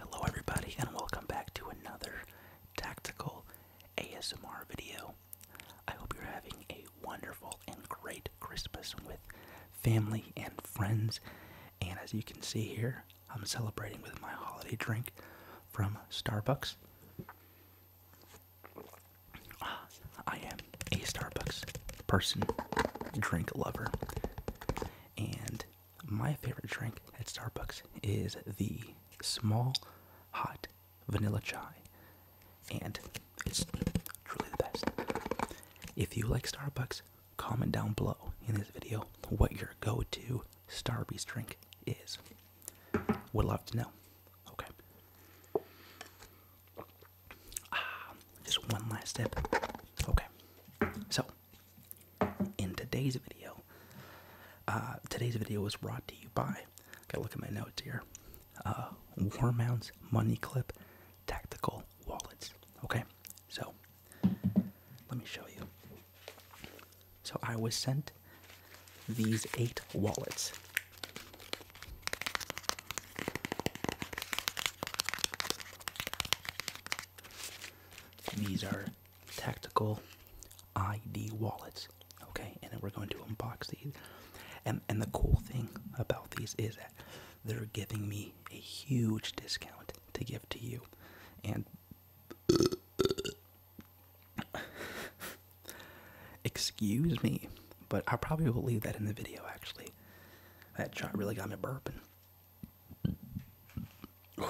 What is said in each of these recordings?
Hello, everybody, and welcome back to another tactical ASMR video. I hope you're having a wonderful and great Christmas with family and friends. And as you can see here, I'm celebrating with my holiday drink from Starbucks. Ah, I am a Starbucks person, drink lover, and my favorite drink at Starbucks is the small hot vanilla chai, and it's truly the best. If you like Starbucks, comment down below in this video what your go to Starbucks drink is. Would love to know. Okay. Ah, just one last tip. Okay. So, in today's video. Uh, today's video was brought to you by, gotta look at my notes here, uh, War Mounts Money Clip Tactical Wallets. Okay, so let me show you. So I was sent these eight wallets these are tactical ID wallets. Okay, and then we're going to unbox these. And and the cool thing about these is that they're giving me a huge discount to give to you. And excuse me, but I probably will leave that in the video actually. That shot really got me burping. I'm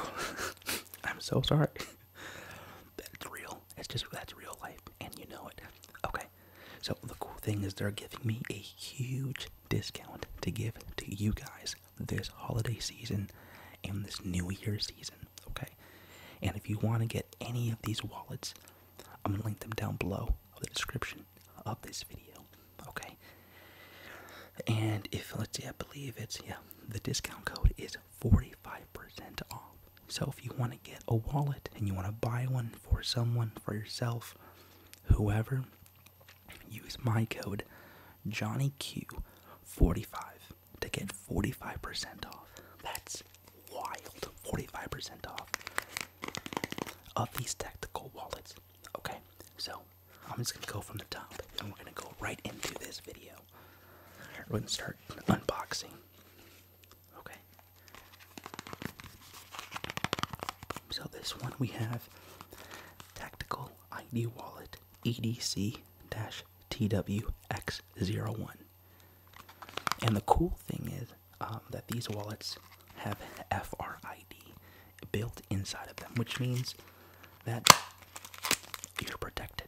so sorry. that's real. It's just that's real life, and you know it. Okay. So the cool thing is they're giving me a huge discount to give to you guys this holiday season and this new year season. Okay. And if you want to get any of these wallets, I'm gonna link them down below of the description of this video. Okay. And if let's see, I believe it's yeah, the discount code is 45% off. So if you want to get a wallet and you want to buy one for someone, for yourself, whoever, use my code JohnnyQ45 to get 45% off. That's wild. 45% off of these tactical wallets. Okay, so I'm just gonna go from the top and we're gonna go right into this video. We're gonna start unboxing. Okay. So this one we have Tactical ID Wallet EDC TWX01. And the cool thing is um, that these wallets have FRID built inside of them, which means that you're protected.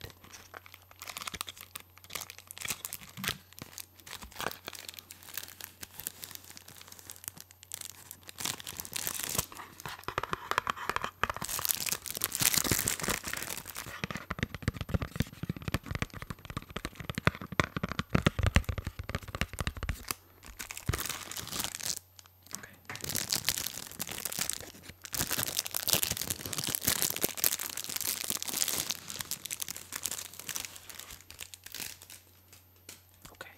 Okay.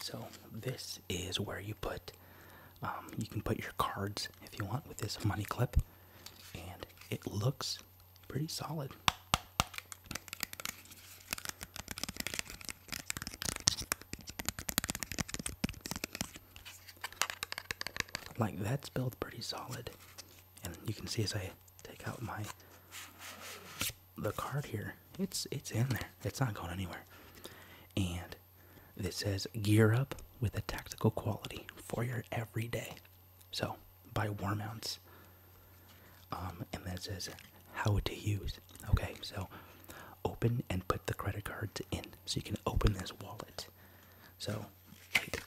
So this is where you put um, you can put your cards if you want with this money clip and it looks pretty solid. Like that's built pretty solid. And you can see as I take out my the card here, it's it's in there. It's not going anywhere. And it says gear up with a tactical quality for your everyday. So buy War Mounts. Um, and that says how to use. Okay, so open and put the credit cards in so you can open this wallet. So, wait.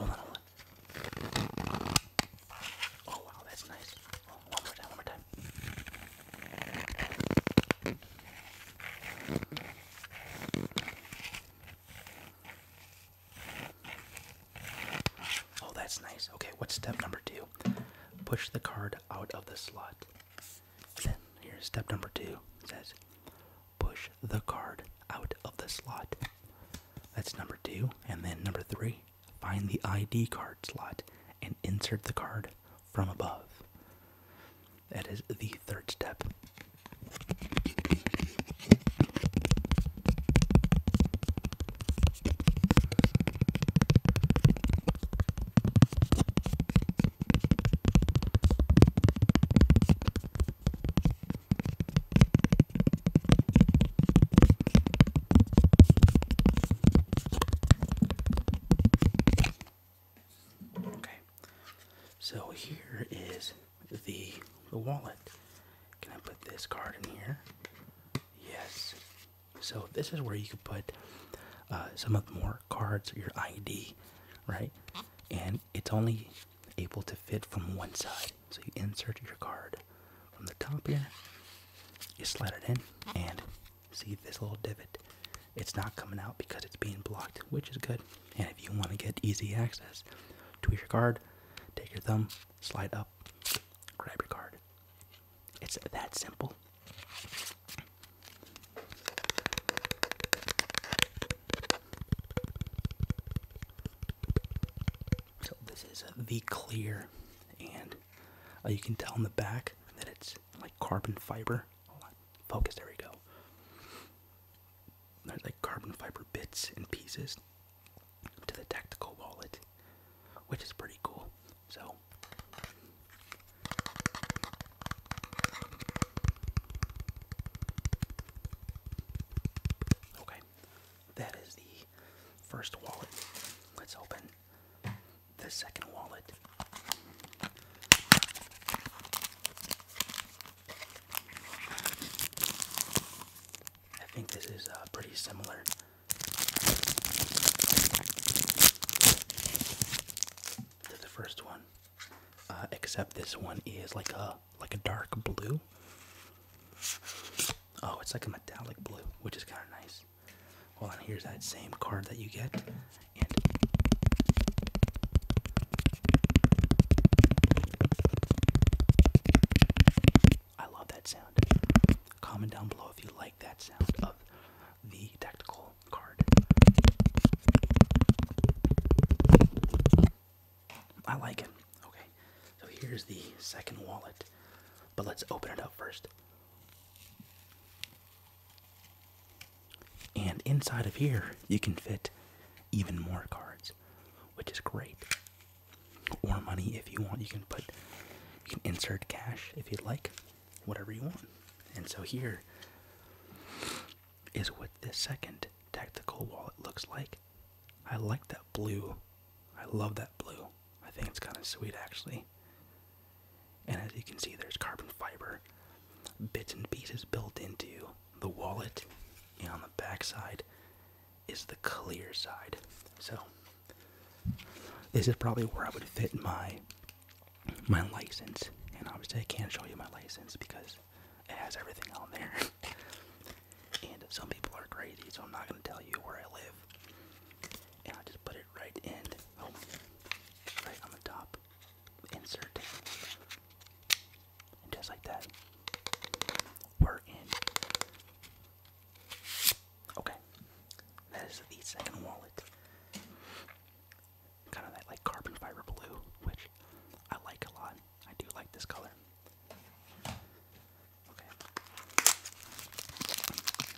Oh, Oh wow, that's nice. Oh, one more time, one more time. Oh, that's nice. Okay, what's step number two? Push the card out of the slot. Then here's step number two. It says push the card out of the slot. That's number two. And then number three, find the ID card slot and insert the card from above. That is the third step. Okay, so here is the the wallet. Can I put this card in here? Yes. So this is where you could put uh, some of the more cards, your ID, right? And it's only able to fit from one side. So you insert your card from the top here, you slide it in, and see this little divot. It's not coming out because it's being blocked, which is good. And if you want to get easy access to your card, take your thumb, slide up, grab your card. It's that simple. So this is the clear, and uh, you can tell in the back that it's like carbon fiber. focus. There we go. There's like carbon fiber bits and pieces to the tactical wallet, which is pretty cool. So. Okay that is the first wallet. Let's open the second wallet. I think this is uh, pretty similar. To the first one, uh, except this one is like a like a dark blue. Oh, it's like a metallic blue, which is kind of nice. Well, and here's that same card that you get. I love that sound. Comment down below if you like that sound of the tactical card. I like it. Okay, so here's the second wallet, but let's open it up first. And inside of here, you can fit even more cards, which is great. Or money if you want. You can put, you can insert cash if you'd like, whatever you want. And so here is what this second tactical wallet looks like. I like that blue. I love that blue. I think it's kind of sweet actually. And as you can see, there's carbon fiber bits and pieces built into the wallet, and on the back side is the clear side. So this is probably where I would fit my my license. And obviously I can't show you my license because it has everything on there. and some people are crazy, so I'm not gonna tell you where I live. And I just put it right in, oh, right on the top. Insert, and just like that, we're in. Okay, that is the second wallet. Kind of that like carbon fiber blue, which I like a lot. I do like this color.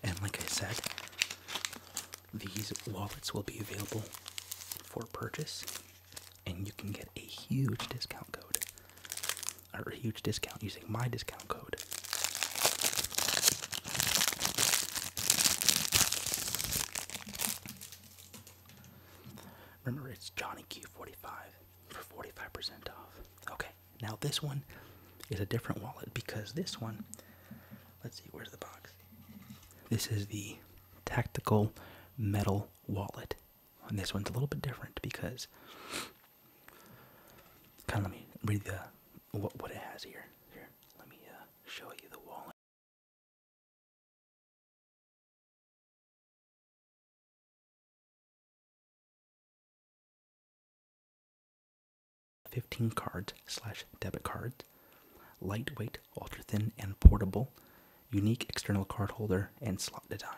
And like I said, these wallets will be available for purchase, and you can get a huge discount code. Or a huge discount using my discount code. Remember, it's Johnny Q45 for 45% off. Okay, now this one is a different wallet because this one, let's see, where's the box? This is the Tactical Metal Wallet. And this one's a little bit different because, kind of let me read the what, what it has here. Here, let me uh, show you the wallet. 15 cards slash debit cards, lightweight, ultra thin, and portable, unique external card holder, and slot design.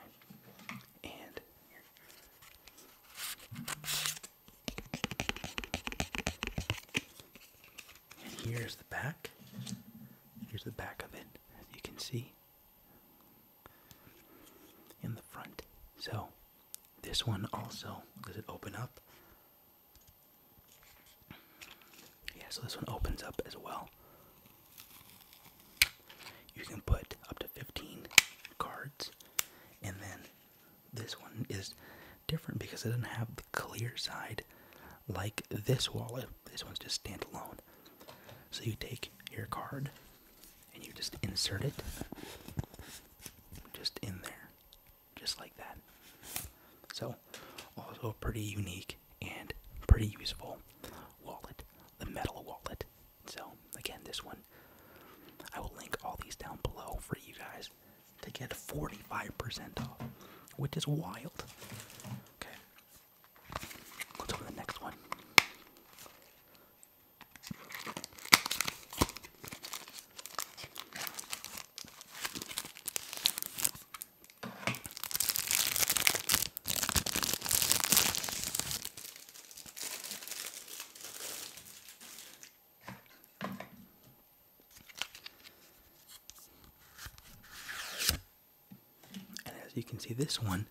And here's the back. Here's the back of it, you can see in the front. So this one also does it open up? Yeah, so this one opens up as well. You can put up to 15 cards, and then this one is different because it doesn't have the clear side like this wallet. This one's just standalone. So you take your card and you just insert it just in there, just like that. So, also pretty unique and pretty useful wallet, the metal wallet. So, again, this one, I will link all these down below for you guys to get 45% off, which is wild. Okay, Let's go to the next one. And as you can see, this one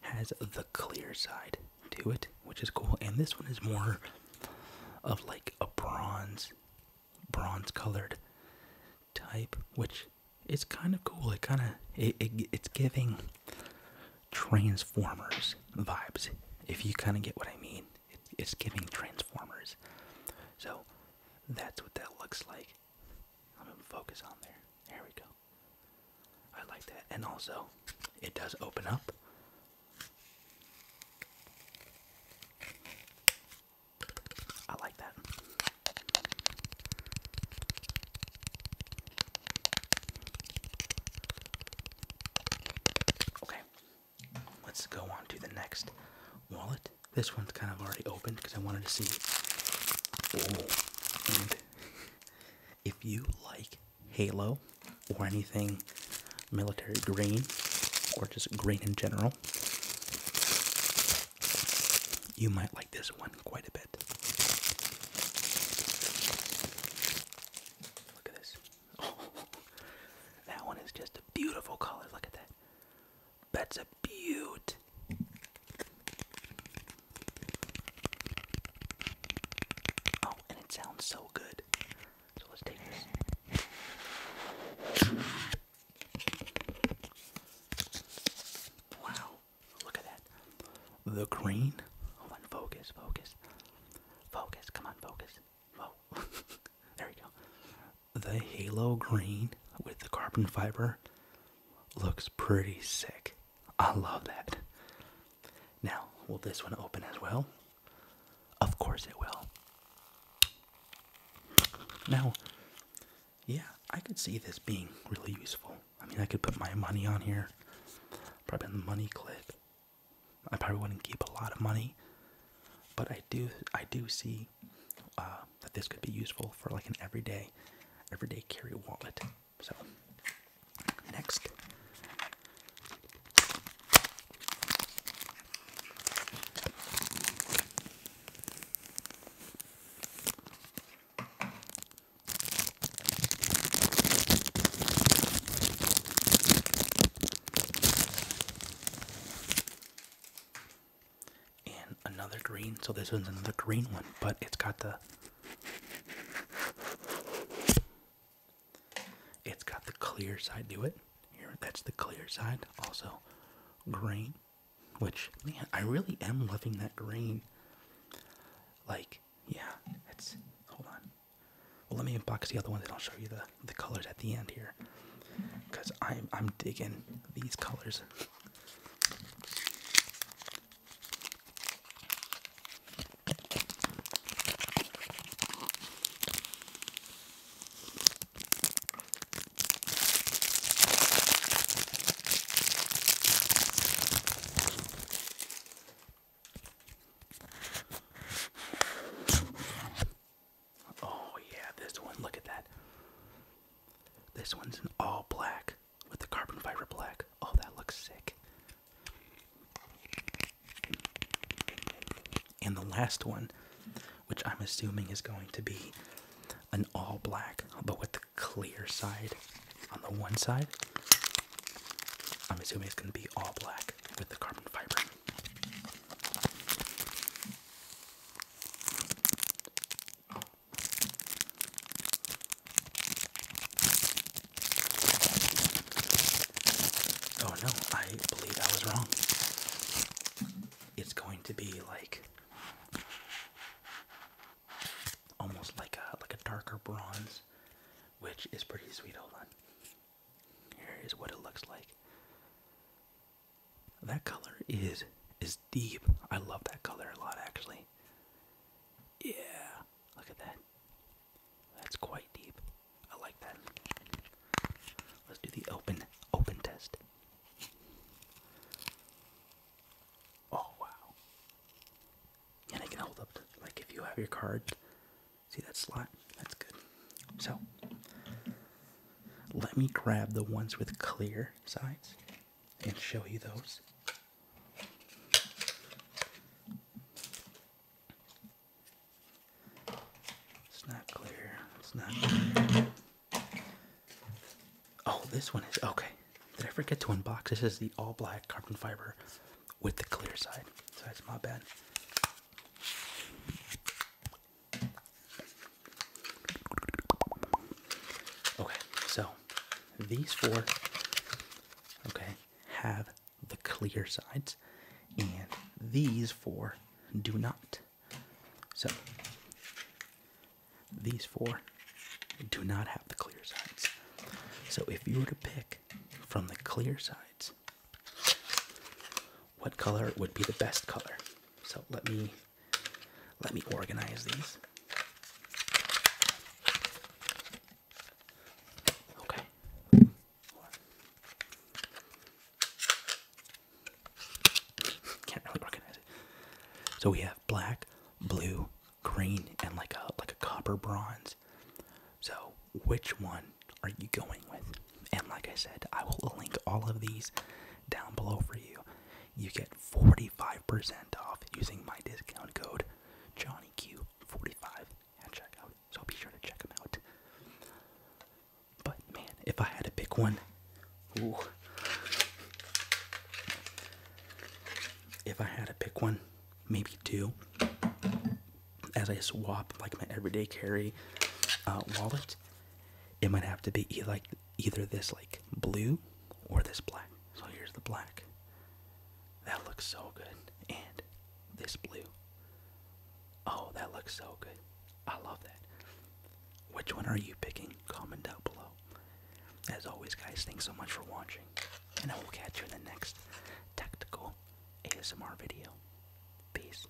has the clear side to it, which is cool. And this one is more of like a bronze, bronze colored type, which is kind of cool. It kind of it, it's giving Transformers vibes, if you kind of get what I mean. it's giving Transformers. So that's what that looks like. I'm gonna focus on there. There we go. I like that. And also, it does open up. I like that. Okay, let's go on to the next wallet. This one's kind of already opened because I wanted to see. if you like Halo or anything military green or just green in general, you might like this one quite a bit. Look at this. that one is just a beautiful color. Look at that. That's a beaut. Oh, and it sounds so good. So let's take this. Wow, look at that. The green. Hold on, focus, focus. Focus, come on, focus. Whoa. there we go the halo green with the carbon fiber looks pretty sick. I love that. Now, will this one open as well? Of course it will. Now, yeah, I could see this being really useful. I mean, I could put my money on here, probably in the money clip. I probably wouldn't keep a lot of money, but I do, I do see uh, that this could be useful for like an everyday, everyday carry wallet. So next and another green. So this one's another green one, but it's got the it's got the clear side to it. Here, that's the clear side. Also, green, which man, I really am loving that green. Like, yeah, it's hold on. Well, let me unbox the other one, and I'll show you the the colors at the end here because I'm I'm digging these colors. Oh yeah, this one. Look at that. This one's in all black with the carbon fiber black. Oh, that looks sick. And the last one, which I'm assuming is going to be an all black, but with the clear side on the one side. I'm assuming it's going to be all black with the carbon fiber. Oh no, I believe I was wrong. It's going to be like almost like a like a darker bronze, which is pretty sweet. Hold on. Here is what it looks like. That color is is deep. I love that color a lot actually. Yeah, look at that. That's quite deep. I like that. Let's do the open open test. Oh wow. And I can hold up to like if you have your card. See that slot? That's good. So let me grab the ones with clear sides and show you those. It's not clear. It's not Oh, this one is okay. Did I forget to unbox? This is the all black carbon fiber with the clear side. So that's my bad. Okay, so these four, okay, have the clear sides, and these four do not. So these four do not have the clear sides. So if you were to pick from the clear sides, what color would be the best color? So let me let me organize these. Okay. Can't really organize it. So we have black, blue, green, and like a like a copper bronze. So which one are you going with? And like I said, I will link all of these down below for you. You get 45% off using my discount code JohnnyQ45 at checkout. So be sure to check them out. But man, if I had to pick one, if I had to pick one, maybe two, as I swap like my everyday carry uh, wallet it might have to be like either this like blue or this black. So here's the black. That looks so good. And this blue. Oh, that looks so good. I love that. Which one are you picking? Comment down below. As always, guys, thanks so much for watching. And I will catch you in the next tactical ASMR video. Peace.